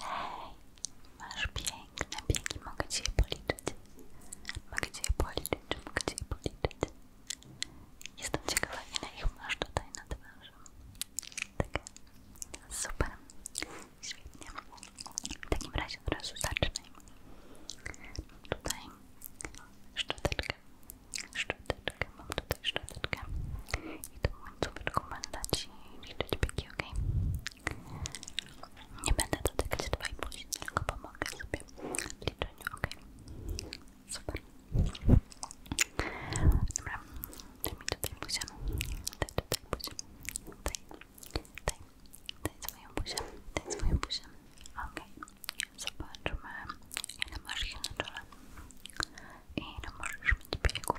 Hej, masz piękne biegi, mogę Cię policzyć. Mogę Cię policzyć, mogę Cię policzyć. Jestem ciekawa, ile ich masz tutaj na twarzy. Tak, super, świetnie. W takim razie od razu zaczynajmy. Tutaj szczoteczkę, szczoteczkę, mam tutaj szczoteczkę i tu końcóweczką będę Ci liczyć biegi, ok? Nie będę dotykać 2,5, tylko pomogę sobie w liczeniu, ok? Super. Dobra, daj mi tutaj buzię, daj tutaj buzię, daj, daj, daj swoją buzię, daj swoją buzię, ok? Zobaczmy, ile masz ich na czole i ile możesz mieć biegów.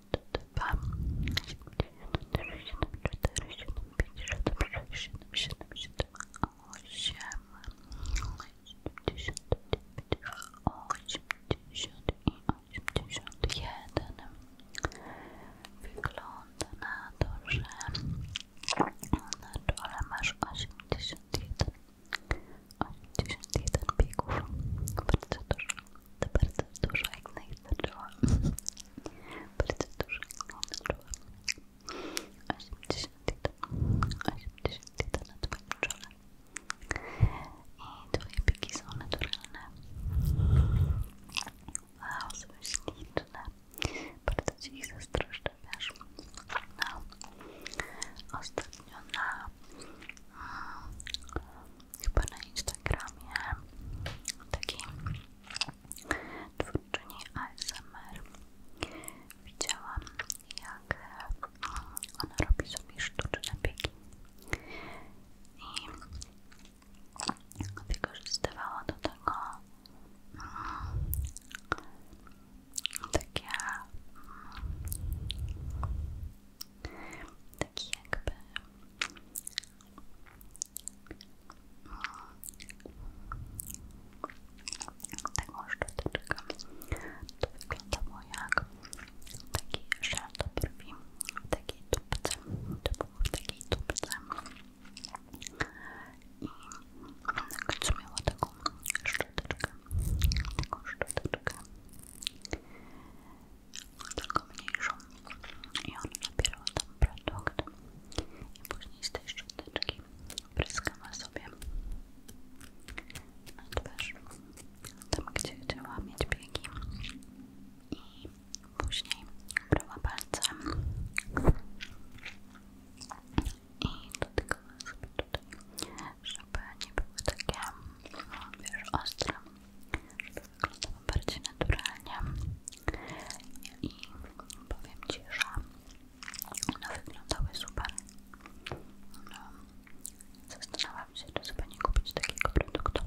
dwa, siedem, siedem, cztery, siedem, pięć, siedem, sześć, siedem, siedem, siedem, osiem, siedemdziesiąt dziewięć, osiemdziesiąt i osiemdziesiąt jeden. Wygląda na to, że na dole masz osiemdziesiąt jeden. 81 biegów, bardzo dużo, to bardzo dużo jak najstarczyło bardzo dużo odczułam 81 81 na twoim czole i twoje piki są naturalne wow, są śliczne bardzo ci ich zazdroszczę, wiesz no. ostatnio na chyba na Instagramie takiej twórczyni ASMR widziałam jak mm, ona robi sobie sztuczne biegi i wykorzystywała do tego mm, taki mm, jakby Taką szczoteczkę. To wygląda mu jak taki żel do brwi tubce, to w takiej tubce i na końcu miała taką szczoteczkę, taką szczoteczkę tylko mniejszą i one nabierały tam produkt i później z tej szczoteczki pryskamy sobie na twarz tam gdzie chciała mieć biegi i później brała palcem i dotykała sobie tutaj, żeby nie były takie no, wiesz, ostre wyglądam bardziej naturalnie i powiem Ci, że one wyglądały super. No, zastanawiam się, czy sobie nie kupić takiego produktu.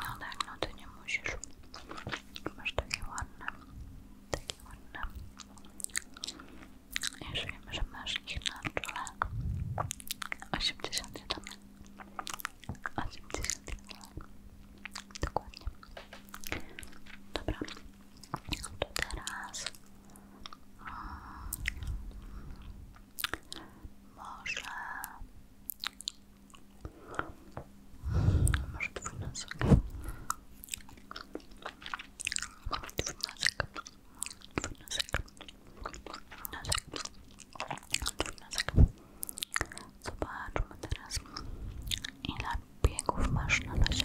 No tak, no Ty nie musisz. Masz takie ładne, takie ładne już wiem, że masz ich na czole. 81 81 Dokładnie. Dobra. teraz... Mm, może... Może twój nosek. Dwójnosek. Dwójnosek. Dwójnosek. Dwójnosek. Zobaczmy teraz, ile biegów masz na razie.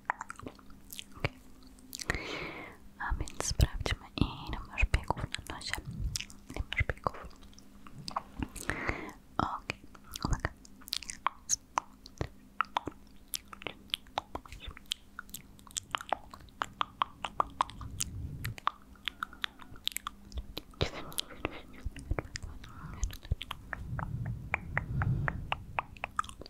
A więc sprawdźmy, i masz biegów na nosie. Ile masz biegów? Okej, okay. uwaga.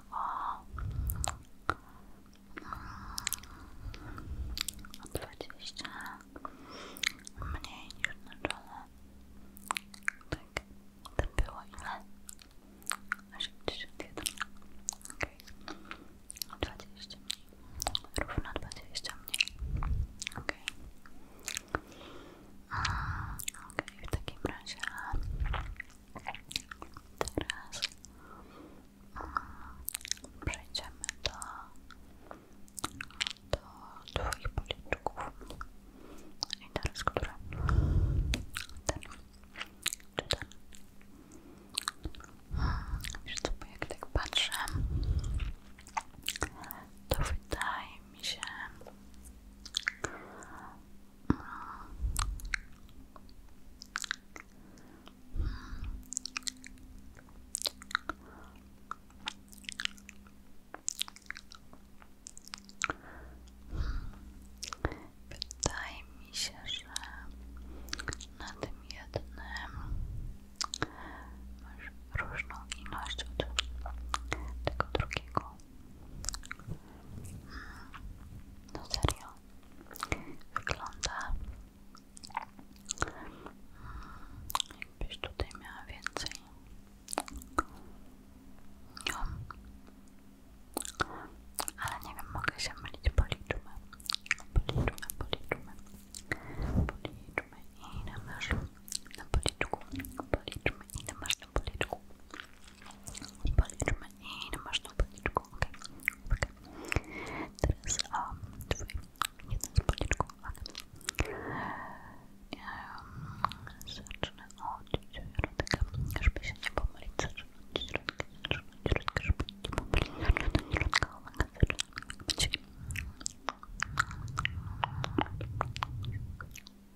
o, o 20 mniej niż na czole. Tak, to było ile? 81. Okej. Okay. dwadzieścia, mniej. Równo dwadzieścia, mniej. Okej. Okay. Okej, okay, w Teraz przejdziemy do, do Twoich policzków. I teraz który? Ten. Czy ten? Wiesz co, bo jak tak to wydaje mi się, Wydaje mi się, że na tym jednym masz różną ilość od tego drugiego. No serio. Wygląda jakbyś tutaj miała więcej nią. Ale nie wiem, mogę się mylić, policzmy. Policzmy, policzmy. i na masz na policzku. Policzmy i na masznym policzku. Policzmy i na masznym policzku. Ok, ok. Teraz um, twój jeden z policzków. Okay. Um, zacznę od środka, żeby się nie pomylić. Zacznę od środka, zacznę od środka, żeby nie pomylić. Zacznę od środka, uwaga, zacznę od środka. Czyli...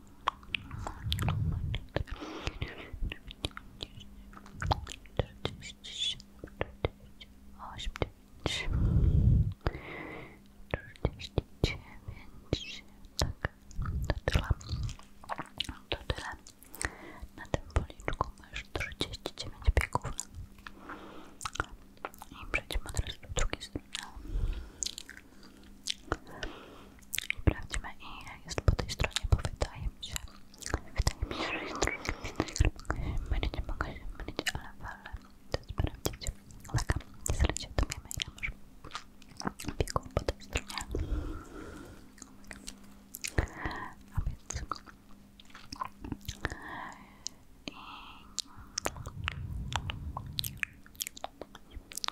tak, to tyle, to tyle, na tym policzku masz 39 biegów i przejdziemy teraz do drugiej strony Sprawdźmy i jest po tej stronie, bo wydaje mi się, że jest troszkę więcej. Mogę się mylić, mogę się mylić, ale wolę to sprawdzić. Laka, nie zalecie, to wiemy po tej stronie. A więc... I...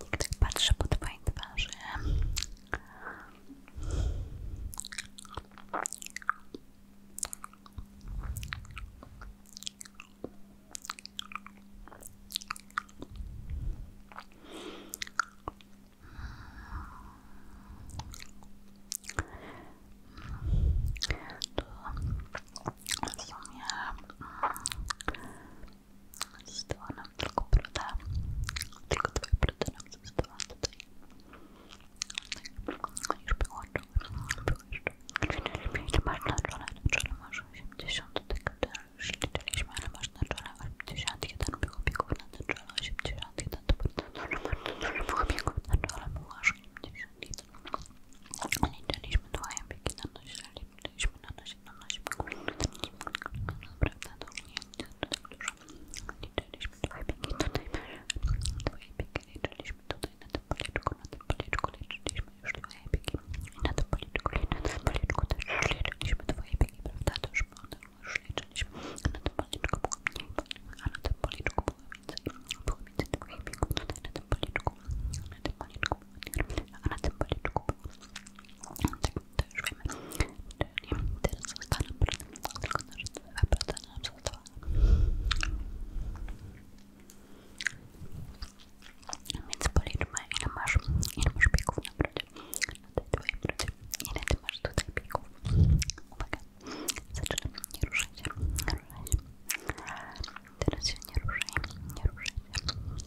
Jak tak patrzę po twojej twarzy. To w sumie Została nam tylko broda. Tylko twoje brody nam została tutaj. Tak, już wyłączyłem. Było jeszcze 45. Znaczy, masz na czole, na czole masz 80. Tak, tak, tak, już liczyliśmy, nie masz na czole 81. Było biegów na czole 81. nie bardzo dużo, bardzo dużo było biegów na nie Było aż 81. Liczyliśmy twoje biegi na nosie, Byliśmy na nasie, na nasie. Naprawdę to nie tak dużo. Liczyliśmy dwa biegi tutaj. Dwoje biegi liczyliśmy tutaj na tym policzku, na tym policzku liczyliśmy już dwoje biegi. I na tym policzku, i na tym policzku też już liczyliśmy dwoje biegi, prawda? To już, było, to już liczyliśmy. Na tym policzku było mniej, a na tym policzku było więcej. Było więcej dwoje biegów tutaj na tym policzku. Na tym policzku a na tym policzku tak to już wiemy czyli teraz zostaną tylko nasze 2% nam zostało więc policzmy ile masz, ile masz biegów tutaj biegów uwaga nie ruszaj się nie ruszaj się teraz się nie ruszaj, nie ruszaj się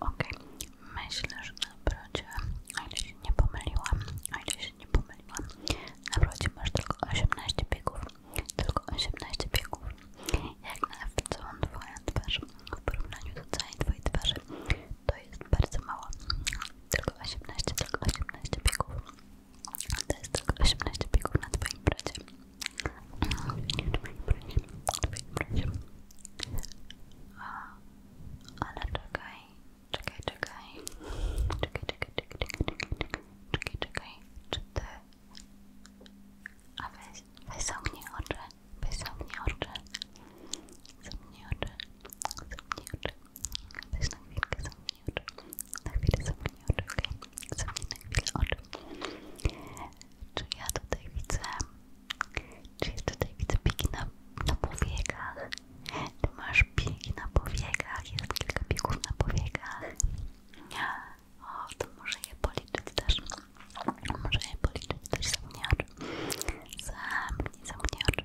Okej, myślę, że na brodzie, o ile się nie pomyliłam, o ile się nie pomyliłam, na brodzie masz tylko 18 biegów, tylko 18 biegów, jak na całą twoją twarz, w porównaniu do całej twojej twarzy to jest bardzo mało. Tylko 18, tylko 18 biegów. To jest tylko 18 biegów na Twoim bracie. Ale czekaj, czekaj, czekaj. Czekaj, czekaj, czekaj, czekaj, czekaj, czekaj, czekaj. Czy ty... A weź, weź zamknij oczy, weź zamknij oczy. Zamknij oczy, zamknij oczy. Weź na chwilkę zamknij Na chwilę zamknij oczy, okej? na chwilę Czy ja tutaj widzę... Czy ja tutaj widzę piki na, na powiekach? Ty masz piki na powiekach? Jest kilka pików na powiekach. O, to może je policzyć też. Może je policzyć też, zamknij oczy. Zamknij, zamknij oczy.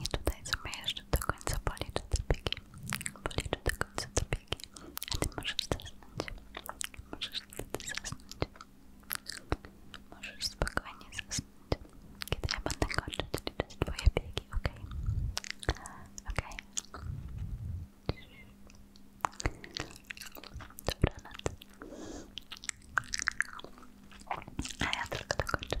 I tutaj sobie jeszcze do końca policzę te biegi. Policzę do końca te biegi. A ty możesz zasnąć. Możesz wtedy zasnąć. Możesz spokojnie zasnąć. Kiedy ja będę kończyć liczyć twoje biegi, ok? Ok? Dobranoc. I have to look at the content,